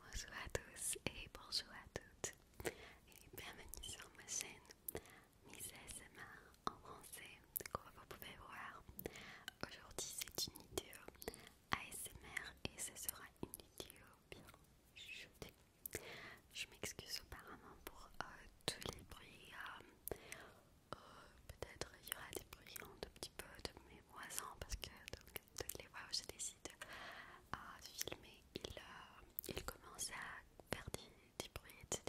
Bonjour à tous et bonjour à toutes et bienvenue sur ma chaîne Miss ASMR en français comme vous pouvez voir aujourd'hui c'est une vidéo ASMR et ce sera une vidéo bien jetée je m'excuse apparemment pour euh, tous les bruits euh, euh, peut-être il y aura des bruits un petit peu de mes voisins parce que toutes les fois où je décide à filmer, il, euh, commence à faire des, bruit, etc.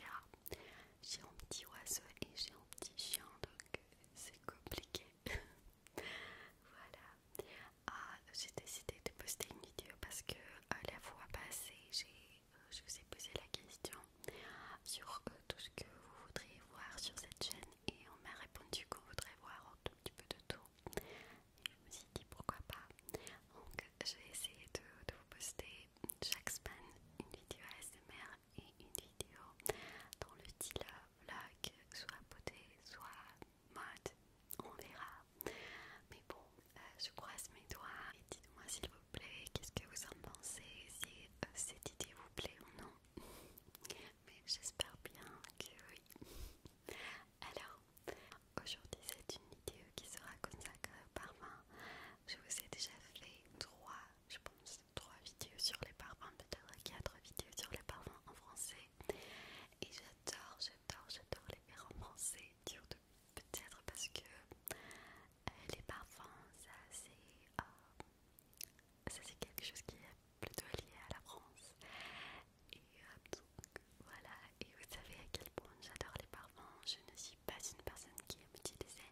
J'ai un petit oiseau et j'ai un petit chien, donc c'est compliqué. voilà. Ah, j'ai décidé de poster une vidéo parce que euh, la fois passée, j'ai, euh, je vous ai posé la question sur tout ce que vous voudriez voir sur cette chaîne et on m'a répondu qu'on voudrait voir un tout petit peu de tout. Et je me suis dit pourquoi pas. Donc j'ai essayé de, de vous poster chaque semaine une vidéo ASMR et une vidéo dans le style vlog, soit beauté, soit mode, on verra. Mais bon, euh, je croise mes doigts et dites-moi s'il vous plaît qu'est-ce que vous en pensez, si euh, cette idée vous plaît ou non mais j'espère bien que oui. Alors, aujourd'hui, c'est une vidéo qui sera consacrée aux parfums. Je vous ai déjà fait 3, je pense, trois vidéos sur les parfums, peut-être quatre vidéos sur les parfums en français. Et j'adore, j'adore, j'adore les faire en français, peut-être parce que euh, les parfums, ça c'est. Euh, ça c'est quelque chose qui est plutôt lié à la France. Et donc voilà, et vous savez à quel point j'adore les parfums. Je ne suis pas une personne qui aime utiliser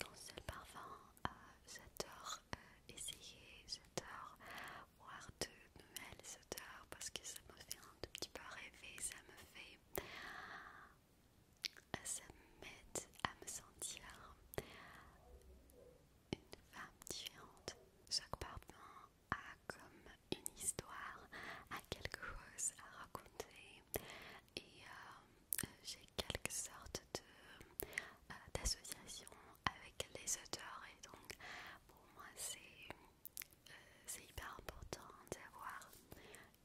Dans seul parfum. Euh, j'adore euh, essayer, j'adore voir de nouvelles j'adore parce que ça me fait un tout petit peu rêver, ça me fait... Ça m'aide à me sentir une femme différente. Chaque parfum a comme une histoire, a quelque chose à raconter et euh, j'ai quelque sorte de euh, d'association avec les auteurs et donc pour moi euh, c'est hyper important d'avoir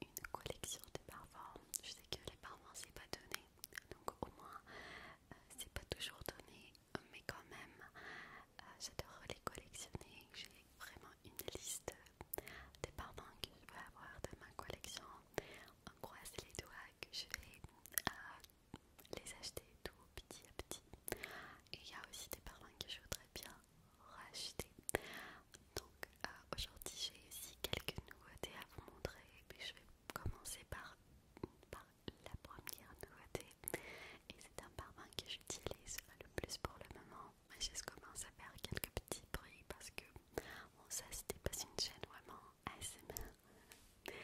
une collection de parfums. Je sais que les parfums c'est pas donné donc au moins euh, c'est pas toujours donné, mais quand même euh, j'adore les collectionner. J'ai vraiment une liste des parfums que je vais avoir dans ma collection. On croise les doigts que je vais euh, les acheter tout petit à petit. Et il y a aussi des parfums que je voudrais bien racheter. Donc aujourd'hui j'ai aussi quelques nouveautés à vous montrer, mais je vais commencer par, par la première nouveauté et c'est un parfum que j'utilise le plus pour le moment. Ma chaise commence à faire quelques petits bruits parce que on ça c'était pas une chaîne vraiment ASMR. Mais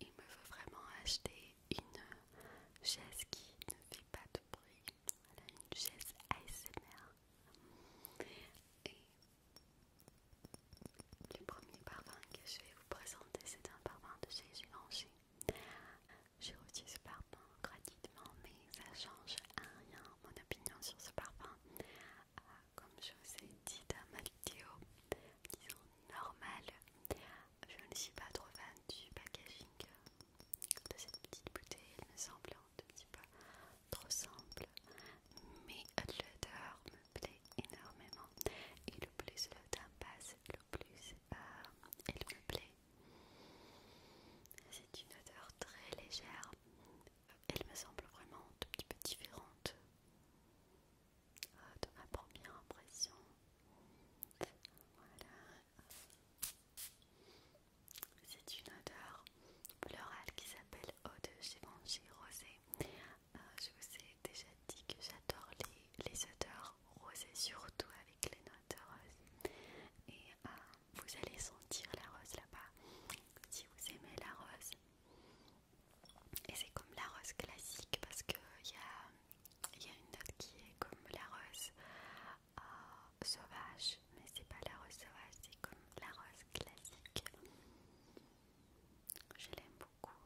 il me faut vraiment acheter une chaise qui ne fait pas de bruit. une chaise ASMR. Et le premier parfum que je vais vous présenter, c'est un parfum de chez Givenchy. J'ai reçu ce parfum gratuitement, mais ça change à rien mon opinion sur ce parfum. Ah, comme je vous ai dit dans ma vidéo, disons normal, je ne suis pas trop fan du packaging de cette petite bouteille, il me semble un petit peu trop simple mais l'odeur me plaît énormément et le plus le temps passe le plus euh, elle me plaît c'est une odeur très légère elle me semble vraiment un petit peu différente euh, de ma première impression voilà c'est une odeur floral qui s'appelle Eau de Givenchy rosé euh, je vous ai déjà dit que j'adore les, odeurs rosées, surtout avec les notes roses. Et euh, vous allez sentir la rose là-bas si vous aimez la rose. Et c'est comme la rose classique parce qu'il y a, y a une note qui est comme la rose euh, sauvage mais c'est pas la rose sauvage, c'est comme la rose classique. Je l'aime beaucoup,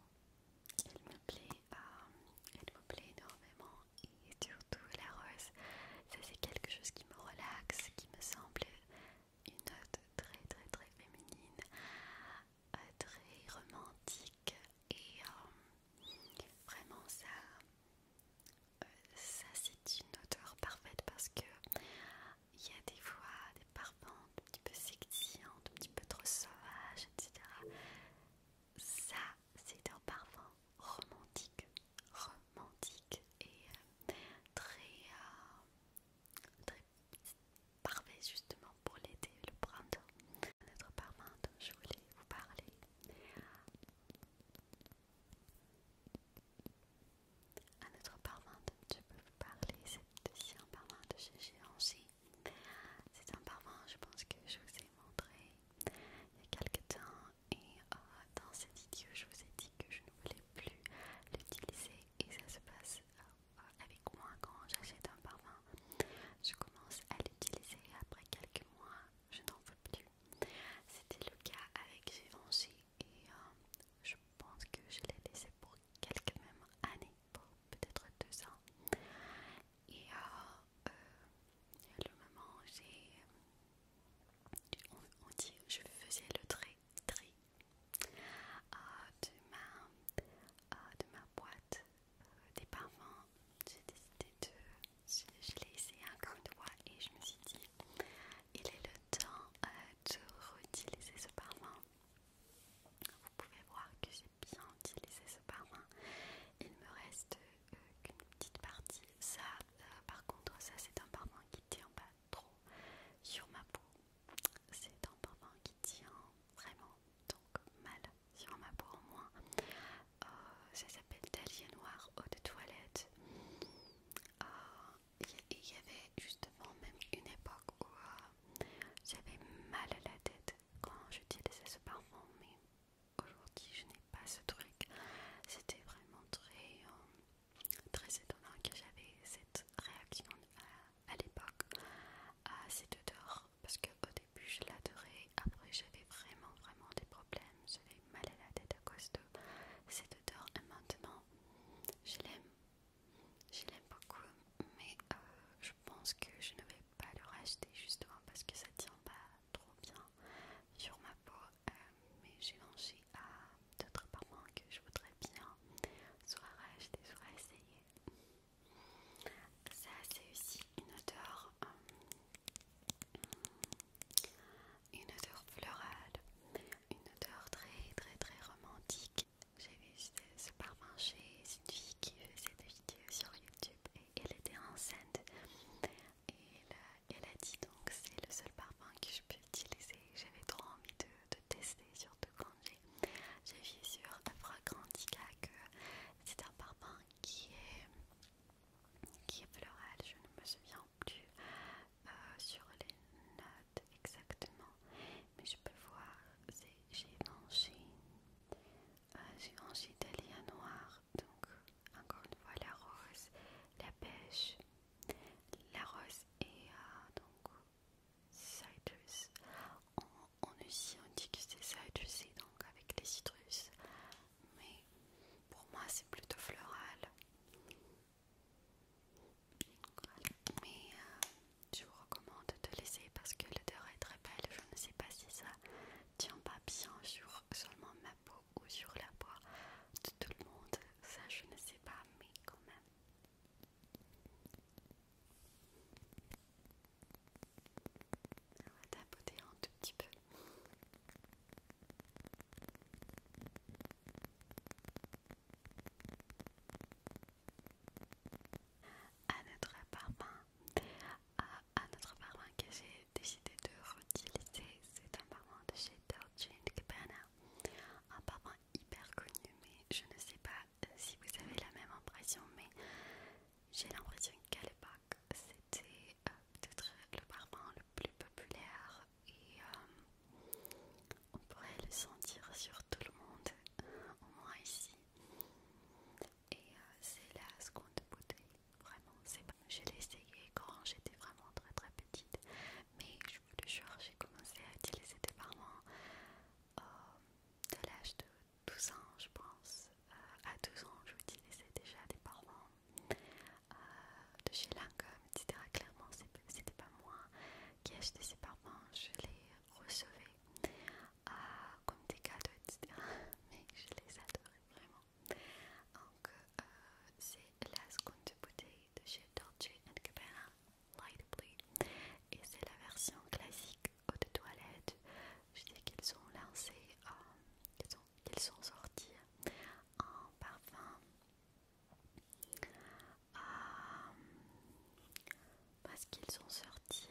elle me plaît, euh, elle me plaît énormément et surtout la rose, ça c'est quelque chose qui me relaxe, qui me semble une note très très très féminine, euh, très romantique et euh, vraiment ça. ça c'est une odeur parfaite parce que il y a des fois des parfums un petit peu sexy, un petit peu trop sauvages, etc. Ça, c'est un parfum romantique, romantique et euh, euh, très, parfait justement pour l'été, le printemps. notre parfum dont je voulais vous parler, un autre parfum dont je peux vous parler, c'est aussi un parfum de chez Givenchy. C'est un parfum, je pense que je vous ai montré il y a quelques temps et euh, dans cette vidéo, je vous ai dit que je ne voulais plus l'utiliser et ça se passe euh, avec moi quand j'achète un parfum. Je commence à l'utiliser et après quelques mois, je n'en veux plus. C'était le cas avec Givenchy et euh, je pense que je l'ai laissé pour quelques même années, pour peut-être deux ans. Et euh, euh, le moment, j'ai. On, dit, je faisais le tri, de, ma, boîte des parfums. J'ai décidé de. Je, l'ai essayé coup de et je me suis dit, il est le temps euh, de réutiliser ce parfum. Vous pouvez voir que j'ai bien utilisé ce parfum. Il me reste euh, qu'une petite partie. Ça, euh, par contre, ça c'est un parfum qui tient pas trop sur ma peau. C'est un parfum qui tient vraiment donc mal sur ma peau au moins. ça s'appelle d'Allier Noir eau de toilette il y avait justement même une époque où euh, j'avais mal à la tête quand j'utilisais ce parfum, mais aujourd'hui je n'ai pas ce truc. C'était vraiment très, euh, très étonnant que j'avais cette réaction euh, à, l'époque à cette odeur parce que au début je l'adorais, après j'avais vraiment, vraiment des problèmes, mal à la tête à cause cette odeur et maintenant je l'aime, je l'aime beaucoup mais euh, je pense que je ne vais pas le racheter justement parce que ça tient pas trop bien sur ma peau euh, mais j'ai lancé à d'autres parents que je voudrais bien soit racheter soit essayer. Ça c'est aussi une odeur euh, une odeur florale, une odeur très très très romantique. J'ai vu ce, parfum chez une fille qui faisait des vidéos sur YouTube et elle était enceinte. Et elle, a dit donc c'est le seul parfum que je peux utiliser. J'avais trop envie de, de tester, surtout quand j'ai vu sur Afrograndica que c'est un parfum qui est qui est floral, je ne me souviens euh, sur les notes exactement, mais je peux voir, j'ai mangé euh, mangé mangé d'alien Noir, donc encore une fois la rose, la pêche, la rose et euh, donc citrus. on aussi on dit que c'est et donc avec les citrus, mais pour moi c'est plutôt floral. Mais euh, je vous recommande de laisser parce que l'odeur est très belle. Je ne sais pas si ça tient pas bien sur seulement ma peau ou sur la peau de tout le monde. Ça, je ne sais pas, mais quand même. On va tapoter un tout petit peu à notre parfum à, notre parfum que j'ai décidé de réutiliser c'est un parfum de chez Dolce Gabbana un parfum hyper connu mais je ne sais pas euh, si vous avez la même impression mais j'ai l'impression qu'à l'époque c'était euh, le parfum le plus populaire et euh, on pourrait le sentir sur tout le monde, au moins ici. Et euh, c'est la seconde bouteille, vraiment, c'est pas. Je l'ai essayé quand j'étais vraiment très très petite, mais je vous le jure, j'ai commencé à utiliser des parfums de l'âge de 12 ans, je pense. à 12 ans, j'utilisais déjà des parfums euh, de chez Lancôme, etc. Ah, clairement, c'était pas moi qui achetais ces parfums, je les recevais euh, comme des cadeaux, etc. Mais je les adorais vraiment. Donc, euh, c'est la seconde bouteille de chez Dolce Gabbana Light Blue et c'est la version classique eau de toilette. Je sais qu'ils ont lancé, qu'ils sont sortis en parfum. Euh, parce qu'ils sont sortis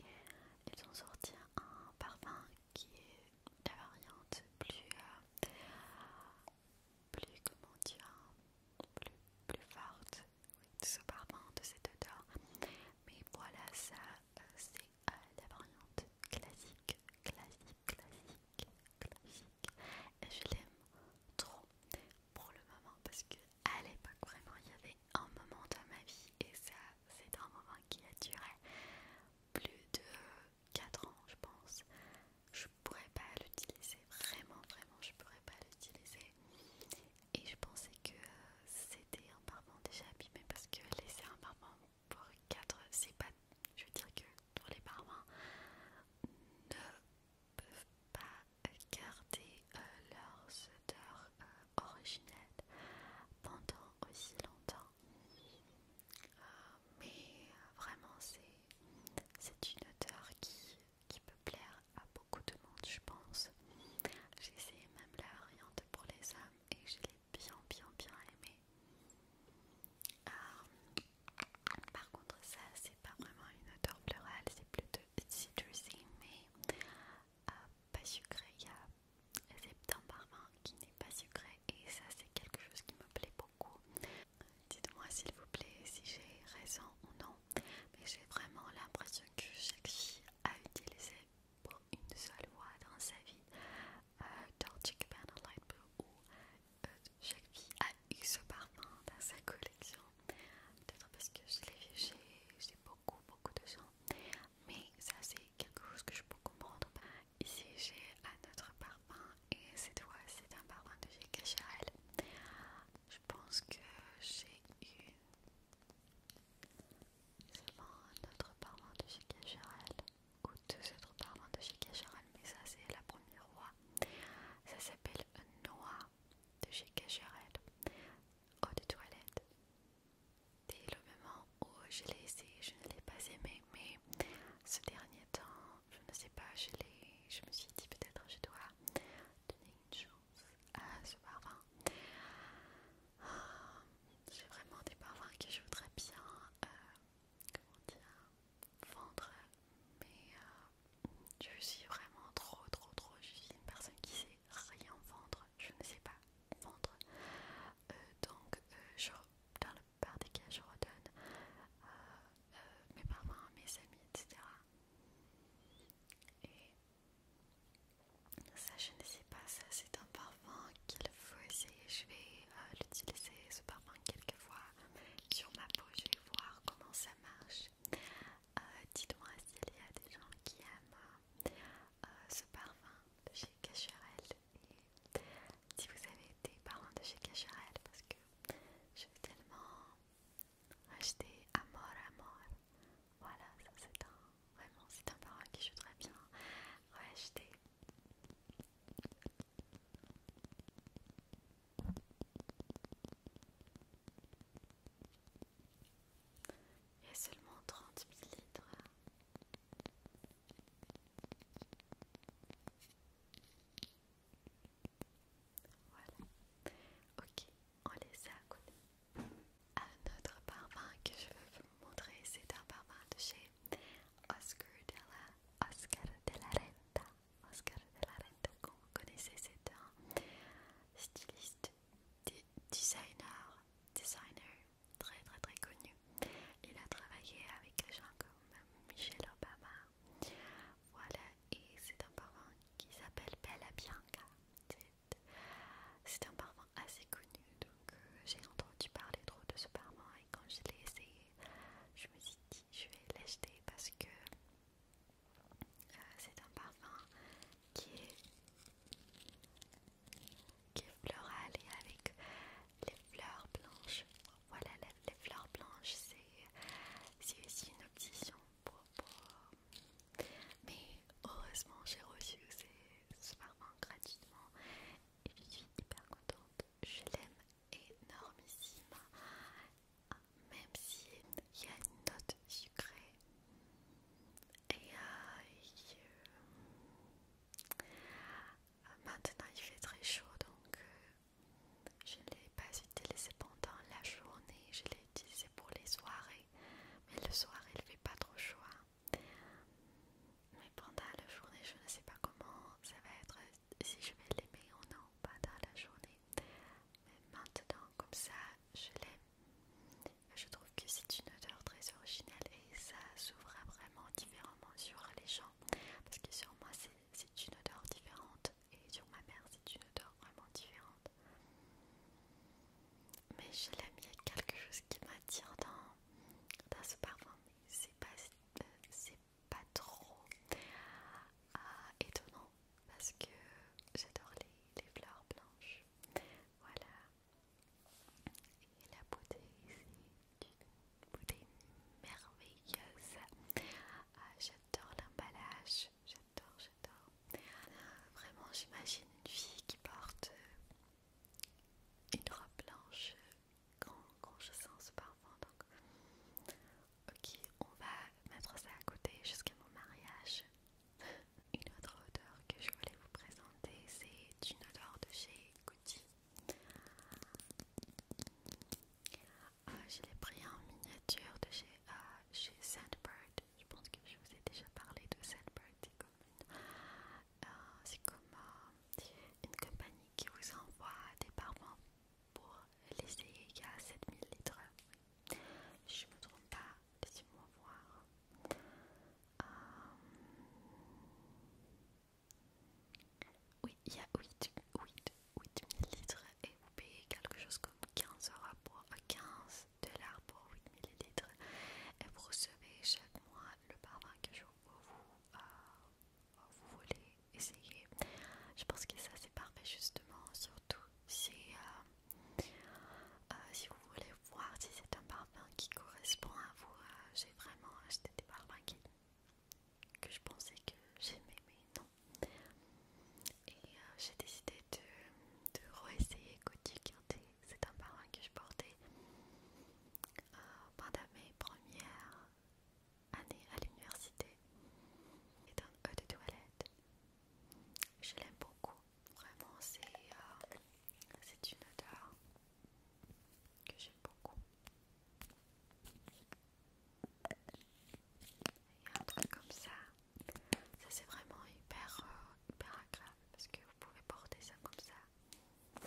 euh, ils sont sortis un parfum qui est la variante plus euh, plus comment dire plus, plus forte de ce parfum de cette odeur mais voilà ça c'est la variante classique, classique, classique, classique. Et je l'aime trop pour le moment parce que à l'époque vraiment il y avait un moment dans ma vie et ça c'est un moment qui a duré plus de 4 ans je pense. Je pourrais pas l'utiliser vraiment vraiment je pourrais pas l'utiliser et je pensais que euh, c'était un parfum déjà abîmé parce que laisser un parfum pour 4, c'est pas. Je veux dire que pour les parents ne peuvent pas garder leur leurs odeurs euh, pendant aussi longtemps. Euh, mais euh, vraiment, c'est une odeur qui, peut plaire à beaucoup de monde, je pense. J'ai essayé même la variante pour les hommes et je bien bien bien aimé. Euh, par contre ça c'est pas vraiment une odeur plurale c'est plutôt citrusy mais euh, pas sucré. Il y a Septembre qui n'est pas sucré et ça c'est quelque chose qui me plaît beaucoup. Dites-moi s'il vous plaît si j'ai raison ou non, mais j'ai vraiment l'impression que chaque fille a utilisé pour une seule fois dans sa vie euh, Light Blue où euh, chaque fille a eu ce parfum dans sa collection peut-être parce que je l'ai vu chez beaucoup beaucoup de gens mais ça c'est quelque chose que je peux comprendre ici j'ai un autre parfum et cette fois c'est un parfum de chez Cachal je pense que j'ai une c'est un autre parlement de Charel ou deux autres parents de Charel mais ça c'est la première roi. Ça s'appelle Noah de Shikasharal. Eau de toilette. Dès le moment où je l'ai essayé, je ne l'ai pas aimé, mais ce dernier temps, je ne sais pas, je, je me suis dit peut-être je dois donner une ce ah, J'ai vraiment des parfums que je voudrais bien euh, vendre, mais euh, je suis vraiment trop, trop, trop. Je suis une personne qui sait rien vendre, je ne sais pas vendre. Euh, donc, dans la plupart des cas, je redonne mes parfums mes amis, etc. Et ça, je ne sais pas, ça c'est un parfum qu'il faut essayer. Je vais euh, l'utiliser, ce parfum, quelques fois sur ma peau. Je vais voir comment ça marche. Euh, dites-moi s'il y a des gens qui aiment euh, ce parfum de chez Cacharel Et si vous avez des parfums de chez Casherel parce que je vais tellement acheter Amor Amor voilà, ça c'est un. Vraiment, c'est un parfum qui je voudrais bien acheter. Et seulement 30 ml. Voilà. Ok, on laisse ça à côté. Un autre parfum que je veux vous montrer, c'est un parfum de chez Oscar de la, Oscar de la Renta. Oscar de la Renta, comme vous connaissez, c'est un styliste, designer, designer très très très connu. Il a travaillé avec des gens comme Michelle Obama. Voilà, et c'est un parfum qui s'appelle Bella Bianca. C'est un parfum assez connu, donc euh, j'ai entendu parler trop de ce parfum et quand je l'ai essayé, je me suis dit je vais l'acheter parce que euh, c'est un parfum qui est, qui floral et avec les fleurs blanches. Voilà, les fleurs blanches, c'est aussi une option. Mais heureusement, j'ai reçu ces gratuitement et je suis hyper contente. Je l'aime énormément ah, même si il y a une note sucrée et euh, maintenant il fait très chaud donc euh, je ne l'ai pas utilisé pendant la journée, je l'ai utilisé pour les soirées mais le soir, il fait pas trop chaud. Hein. Mais pendant la journée, je ne sais pas comment ça va être, si je vais l'aimer ou non dans la journée. Mais maintenant, comme ça, je l'aime. Je trouve que c'est une odeur très originale et ça s'ouvre vraiment différemment sur les gens. Parce que sur moi, c'est une odeur différente et sur ma mère, c'est une odeur vraiment différente. Mais je l'aime. il y a quelque chose qui m'attire dans, dans ce parfum. C'est pas, pas trop euh, étonnant parce que j'adore les, fleurs blanches. Voilà. Et la bouteille, c'est une bouteille merveilleuse. Ah, j'adore l'emballage, j'adore, j'adore. Vraiment, j'imagine une fille qui porte euh, une robe blanche quand, euh, je sens ce parfum. ok, on va mettre ça à côté jusqu'à mon mariage. Une autre odeur que je voulais vous présenter, c'est une odeur de chez Gucci. Ah, je l'ai pris en miniature de chez, euh, chez Sandbird je pense que je vous ai déjà parlé de cette partie commune. Euh, c'est comme euh, une compagnie qui vous envoie des parents pour l'essayer il 7000 litres. Je me trompe pas, laissez-moi voir. Euh, oui, il y a 8, 8000 litres et vous payez quelque chose comme 15 euros pour 15 dollars pour 8 ml et vous recevez chaque mois le parfum que je vous, euh, vous voulez essayer. Je pense que ça c'est parfait justement, surtout si, euh, euh, si vous voulez voir si c'est un parfum qui correspond à vous. J'ai vraiment acheté des parfums que je pensais que j'aimais mais non et euh, j'ai décidé de, reessayer re-essayer c'est un parrain que je portais euh, pendant mes premières années à l'université. Et un de toilette. Je l'aime beaucoup. Vraiment, euh, c'est une odeur que j'aime beaucoup. Et un truc comme ça ça c'est vraiment hyper, euh, hyper agréable parce que vous pouvez porter ça comme ça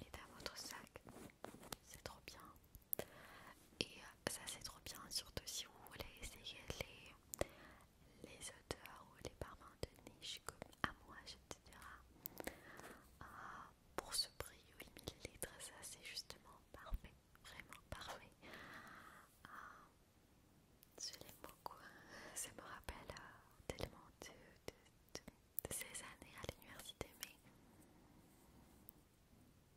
et dans votre sac. C'est trop bien. Et euh, ça c'est trop bien surtout si vous voulez essayer les, les odeurs ou les parfums de niche comme je etc. Ah, pour ce prix 8 ml, ça c'est justement parfait vraiment parfait. je ah, l'aime beaucoup. Hein. Ça me rappelle euh, tellement de, ces années à l'université, mais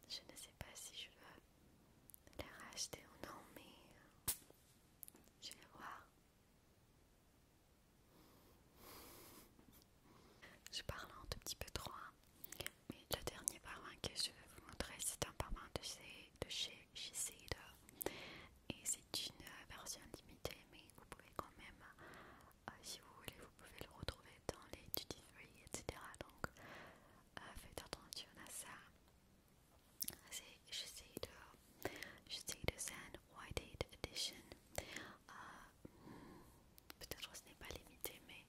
je ne sais pas si je veux les racheter ou non, mais euh, je vais voir. Je parle un tout petit peu trop, hein. Mais le dernier parfum que je vais vous montrer, c'est un parfum de chez, de chez Et c'est une version limitée, mais vous pouvez quand même, euh, si vous voulez, vous pouvez le retrouver dans les duty free, etc. Donc euh, faites attention à ça. C'est Shiseido, Shiseido Zen White Edition. Euh, hmm, peut-être que ce n'est pas limité, mais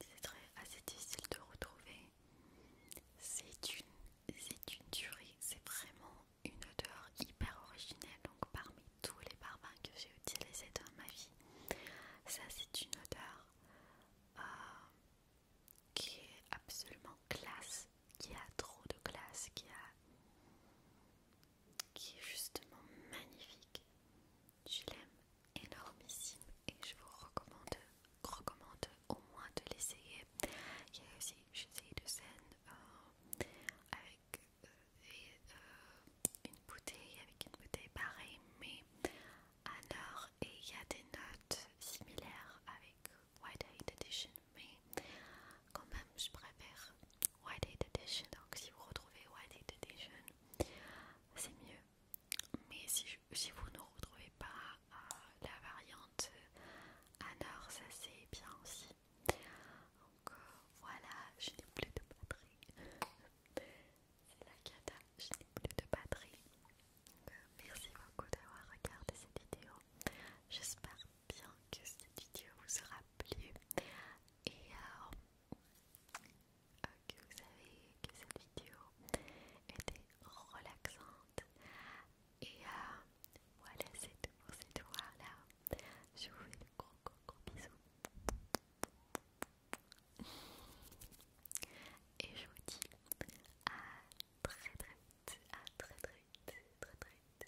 c'est très assez ah, difficile de retrouver. C'est une, une tuerie, c'est vraiment une odeur hyper originelle. Donc parmi tous les parfums que j'ai utilisés dans ma vie, ça c'est une odeur euh, qui est absolument classe, qui a trop de classe, qui a qui est justement magnifique. Je l'aime énormissime et je vous recommande, recommande au moins de l'essayer. Il y a aussi essayé de scène euh, avec euh, euh, une bouteille, avec une bouteille pareille mais à et il y a des notes similaires avec White eyed Edition mais quand même je préfère White Edition donc si vous retrouvez White eyed Edition c'est mieux. Mais si, vous ne retrouvez pas euh, la variante euh, Anor, ça c'est bien aussi. Donc euh, voilà, je n'ai plus de batterie. C'est la cata, je n'ai plus de batterie. merci beaucoup d'avoir regardé cette vidéo. J'espère bien que cette vidéo vous aura plu. Et alors... Ok, ah, vous savez que cette vidéo était relaxante. Et euh, voilà, c'est tout pour cette fois-là. Je vous fais de gros, gros, gros bisous. Et je vous dis à très, très vite. À très, très vite. Très, très vite.